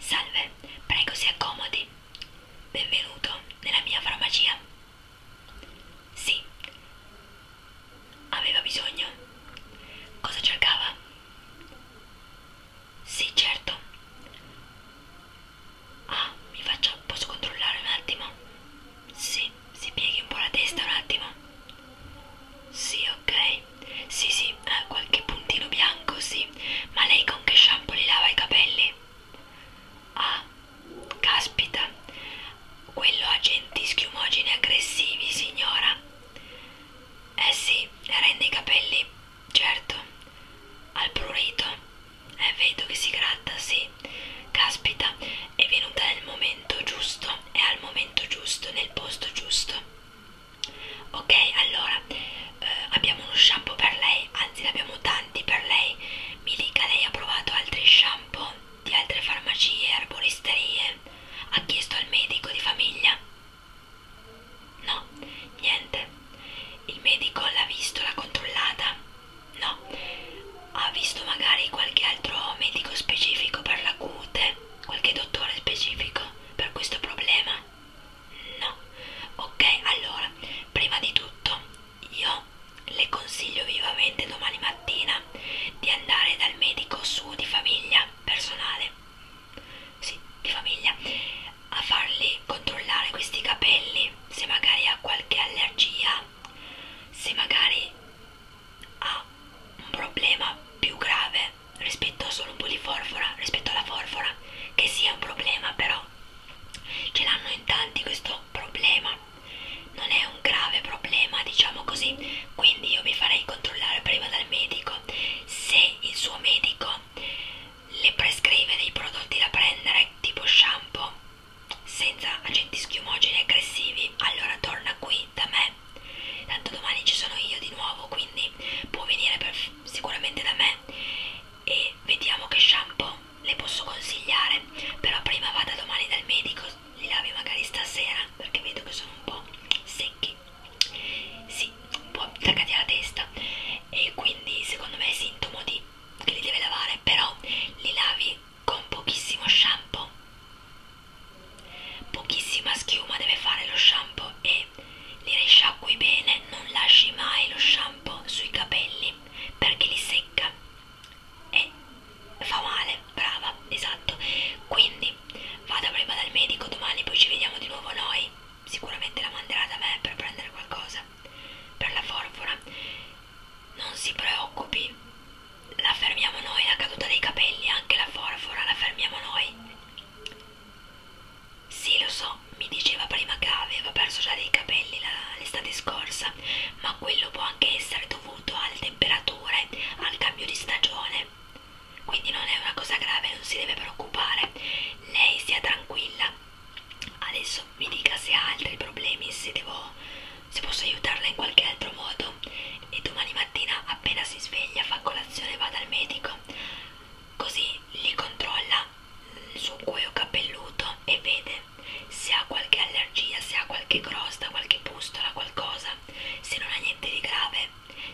Salve, prego si accomodi. Benvenuto nella mia farmacia. Sì. Aveva bisogno? Cosa cercava? Sì, certo. Ah, mi faccia. Posso controllare un attimo? Sì, si pieghi un po' la testa un attimo. Sì, ok. Sì, sì, eh, qualche puntino bianco, sì. Ma lei con che shampoo li lava i capelli? Ah, caspita. Quello agenti schiumogeni aggressivi, signora. Eh sì, rende i capelli, certo. Al prurito. Eh, vedo che si gratta, sì. Caspita, è venuta nel momento giusto, è al momento giusto, nel posto giusto ok allora eh, abbiamo uno shampoo per lei anzi ne abbiamo tanti per lei Milica lei ha provato altri shampoo di altre farmacie erboristerie ha chiesto al medico di famiglia no niente il medico l'ha visto l'ha controllata no ha visto magari qualche altro medico specifico per la cute c'è qualche dottore specifico per questo problema? No. Ok, allora, prima di tutto io le consiglio vivamente domani mattina di andare dal medico suo di famiglia personale. Sì, di famiglia a farli controllare questi capelli, se magari ha qualche allergia, se magari ha un problema più grave rispetto solo un po' di forfora, rispetto alla forfora, che sia un problema però ce l'hanno in tanti questo problema, non è un grave problema diciamo così, quindi io mi farei controllare prima dal medico se il suo medico le prescrive dei prodotti da prendere tipo shampoo senza agenti schiumogeni aggressivi allora torna qui da me tanto domani ci sono io di nuovo quindi può venire per, sicuramente da me e vediamo che shampoo le posso consigliare però prima vada domani dal medico li lavi magari stasera perché vedo che sono un po' secchi sì, un po' attaccati alla testa e quindi secondo me è sintomo di che li deve lavare però li lavi con pochissimo shampoo Pochissima schiuma deve fare lo shampoo e li risciacqui bene, non lasci mai lo shampoo sui capelli perché li secca e fa male, brava, esatto. Quindi vada prima dal medico domani, poi ci vediamo di nuovo noi. Sicuramente la manderà da me per prendere qualcosa per la forfora. Non si preoccupi, la fermiamo noi, la caduta dei capelli, anche la forfora la fermiamo noi. Sì, lo so, mi diceva prima che aveva perso già dei capelli l'estate scorsa, ma quello può anche essere dovuto alle temperature, al cambio di stagione. Quindi non è una cosa grave, non si deve preoccupare. Lei sia tranquilla. Adesso mi dica se ha altri problemi, se devo se posso aiutarla in qualche altro modo e domani mattina appena si sveglia fa colazione e va dal medico così gli controlla il suo cuoio capelluto e vede se ha qualche allergia, se ha qualche crosta, qualche pustola, qualcosa se non ha niente di grave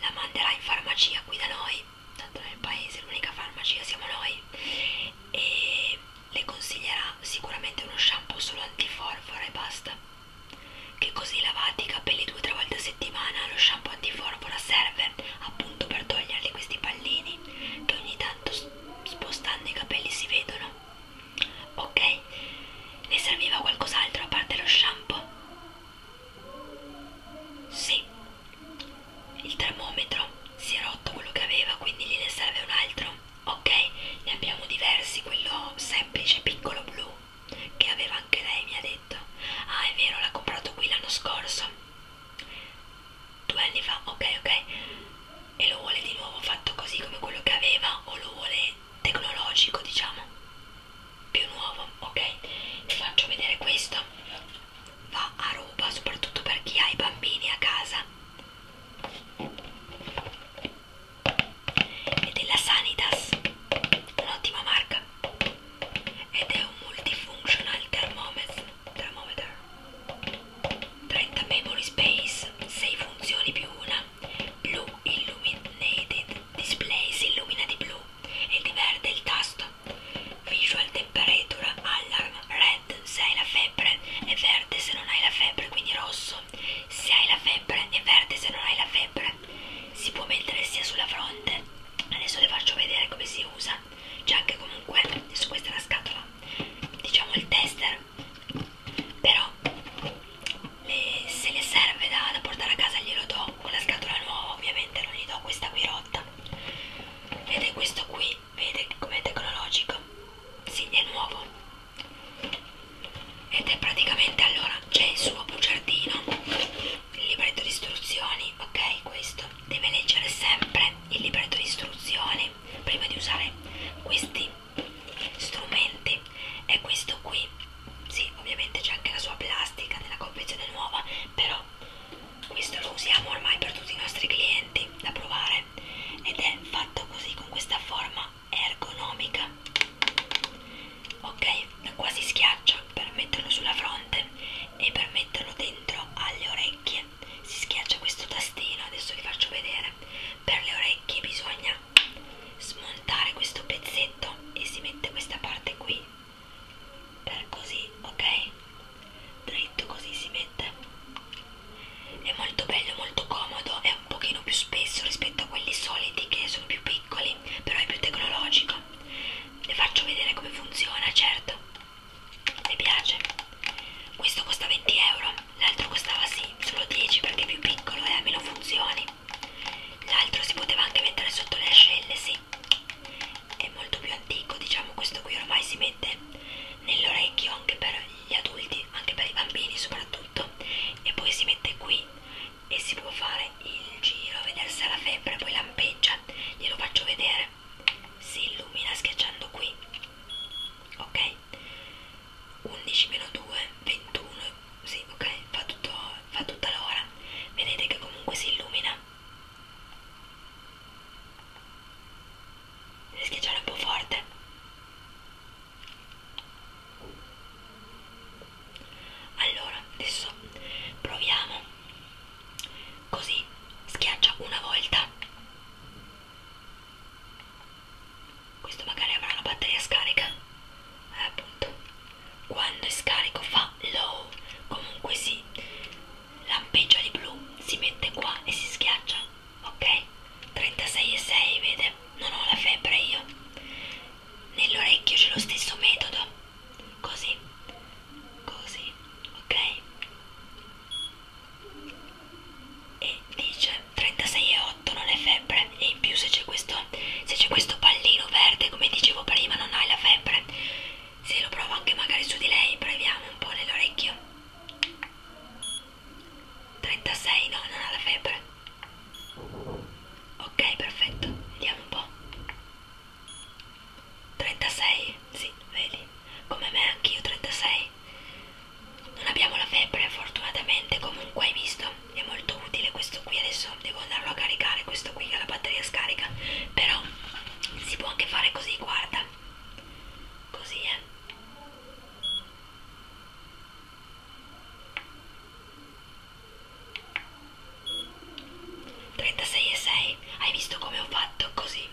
la manderà in farmacia qui da noi tanto nel paese l'unica farmacia siamo noi e le consiglierà sicuramente uno shampoo solo antiforfora e basta che così lavate i capelli due o tre volte a settimana lo shampoo antiforpora serve appunto per toglierli questi pallini che ogni tanto spostando i capelli si vedono ok ne serviva qualcos'altro a parte lo shampoo sì il termometro si è rotto quello che aveva quindi gliene serve un altro ok ne abbiamo diversi quello semplice piccolo blu che aveva anche lei, mi ha detto. Ah, è vero, l'ha comprato qui l'anno scorso. Due anni fa, ok, ok. E lo vuole di nuovo fatto così come quello che aveva o lo vuole tecnologico, diciamo. Più nuovo, ok. Vi faccio vedere questo. Va a roba, soprattutto per chi ha i bambini a casa e della Sanitas, un'ottima marca ed è un multifunctional thermometer, thermometer 30 memory space, 6 funzioni più una, blu illuminated, displays illuminati blu e di verde il tasto, visual temperature alarm, red se hai la febbre e verde se non hai la febbre, quindi rosso se hai la febbre e verde se non hai la febbre si può mettere sia sulla fronte adesso le faccio vedere come si usa c'è anche comunque su questa è la scatola diciamo il tester però le, se le serve da, da portare a casa glielo do con la scatola nuova ovviamente non gli do questa qui rotta ed è questo qui vede come tecnologico si sì, è nuovo ed è praticamente allora c'è il suo bugiardino il libretto di istruzioni ok questo deve leggere sempre il libretto di istruzioni prima di usare questi strumenti e questo qui sì ovviamente c'è anche la sua plastica nella confezione nuova però questo lo usiamo ormai per tutti i nostri clienti da provare ed è fatto così con questa forma ergonomica ok quasi schiaccia per metterlo sulla fronte e per metterlo dentro alle orecchie si schiaccia questo tastino adesso vi faccio vedere per le orecchie bisogna smontare questo pezzetto e si mette questa parte qui per così ok dritto così si mette è molto bello molto comodo è un pochino più spesso rispetto soprattutto quelli soliti che sono più piccoli, però è più tecnologico. Le faccio vedere come funziona, certo. Le piace? Questo costa 20 euro, l'altro costava sì, solo 10 perché è più piccolo e eh, ha meno funzioni. L'altro si poteva anche mettere sotto le ascelle, sì. È molto più antico, diciamo, questo qui ormai si mette nell'orecchio anche per gli adulti, anche per i bambini soprattutto. E poi si mette qui e si può fare il giro a vedere se ha la febbre, poi lampeggia, glielo faccio vedere, si illumina schiacciando qui, ok? 11 meno 2, 21, sì, ok, fa, tutto, fa tutta l'ora, vedete che comunque si illumina. Schiacciare un po' forte allora adesso proviamo così schiaccia una volta questo magari avrà la batteria scarica eh, appunto quando è scarico fa low comunque si lampeggia di blu si mette qua e si schiaccia ok 36,6 vede non ho la febbre io nell'orecchio c'è lo stesso metodo così così ok e dice 36,8 non è febbre e in più se c'è questo se c'è questo pallino verde come dicevo prima non hai la febbre se lo provo anche magari su di lei proviamo un po' nell'orecchio 36 no non ha la febbre Ok, perfetto, vediamo un po'. 36? Sì, vedi. Come me anch'io 36. Non abbiamo la febbre fortunatamente, comunque hai visto? È molto utile questo qui, adesso devo andarlo a caricare, questo qui che la batteria scarica. Però si può anche fare così, guarda. Così, eh. 36,6 Hai visto come ho fatto così?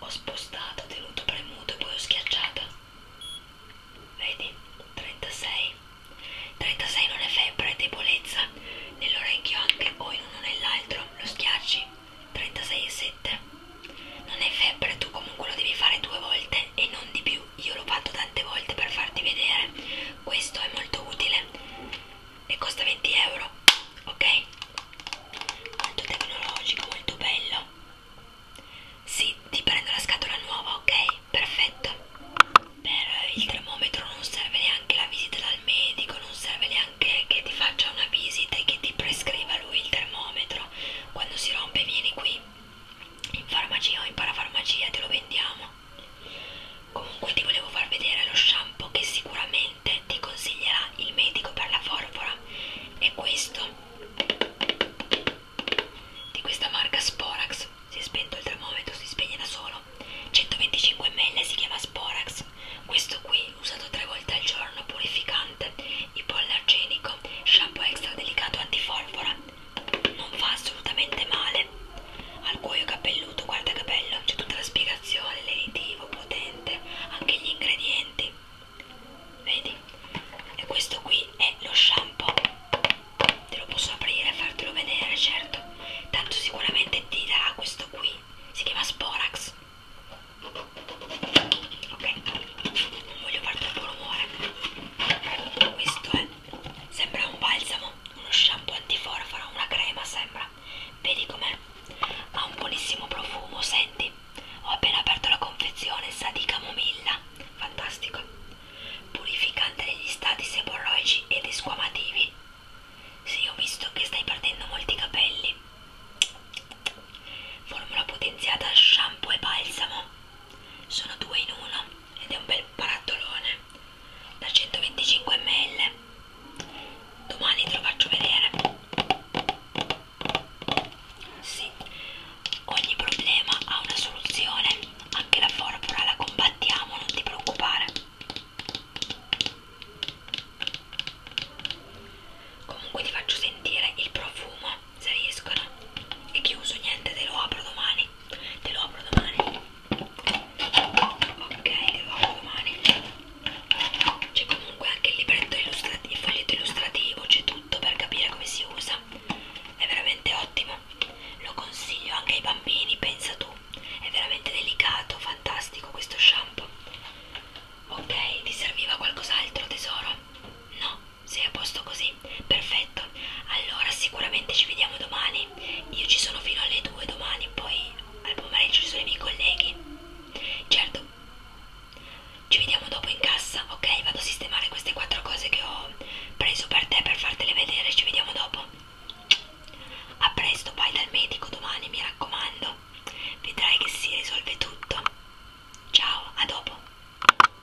Ho spostato, ho tenuto premuto e poi ho schiacciato. Vedi? 36. 36 non è febbre, è debolezza. Nell'orecchio anche o in uno o nell'altro. Lo schiacci. 36,7 Non è febbre, tu comunque lo devi fare due volte e non di più più io lo fatto tante volte per farti vedere questo è molto utile e costa 20 euro ok molto tecnologico molto bello sì ti prendo la scatola nuova ok perfetto per il termometro non serve neanche la visita dal medico non serve neanche che ti faccia una visita e che ti prescriva lui il termometro quando si rompe vieni qui in farmacia o in parafarmacia te lo vendiamo comunque ti volevo far vedere lo shampoo che sicuramente ti consiglierà il medico per la forfora è questo di questa marca Sporax si è spento il termometro si spegne da solo 125 ml si chiama Sporax questo qui usato tre volte al giorno purificante ipoallergenico shampoo extra delicato antiforfora non fa assolutamente male al cuoio capelluto guarda che bello c'è tutta la spiegazione lenitivo potente anche gli ingredienti vedi e questo qui è lo shampoo te lo posso aprire e fartelo vedere certo tanto sicuramente ti darà questo qui si chiama sporax ok non voglio far troppo rumore questo è Sembra un balsamo, uno shampoo antiforfora, una crema sembra. Vedi com'è? Ha un buonissimo profumo, senti? Ho appena aperto la confezione, sa di camomilla. Fantastico. Purificante degli stati seborroici ed esquamativi. Sì, ho visto che stai perdendo molti capelli. Formula potenziata shampoo e balsamo. Sono due in uno ed è un bel barattolone da 125 ml domani te lo faccio vedere sì ogni problema ha una soluzione anche la formula la combattiamo non ti preoccupare comunque ti faccio sentire il profumo Sariscono. È chiuso, niente, te lo apro domani. Te lo apro domani. Ok, te lo apro domani. C'è comunque anche il libretto illustrativo, il foglietto illustrativo, c'è tutto per capire come si usa. È veramente ottimo. Lo consiglio anche ai bambini, pensa tu. È veramente delicato, fantastico questo shampoo. Ok, ti serviva qualcos'altro tesoro? No, sei a posto così? Perfetto, allora sicuramente ci vediamo domani. Io ci sono fino alle 2 domani, poi al pomeriggio ci sono i miei colleghi. Certo, ci vediamo dopo in cassa, ok? Vado a sistemare queste quattro cose che ho preso per te per fartele vedere, ci vediamo dopo. A presto, vai dal medico domani, mi raccomando. Vedrai che si risolve tutto. Ciao, a dopo.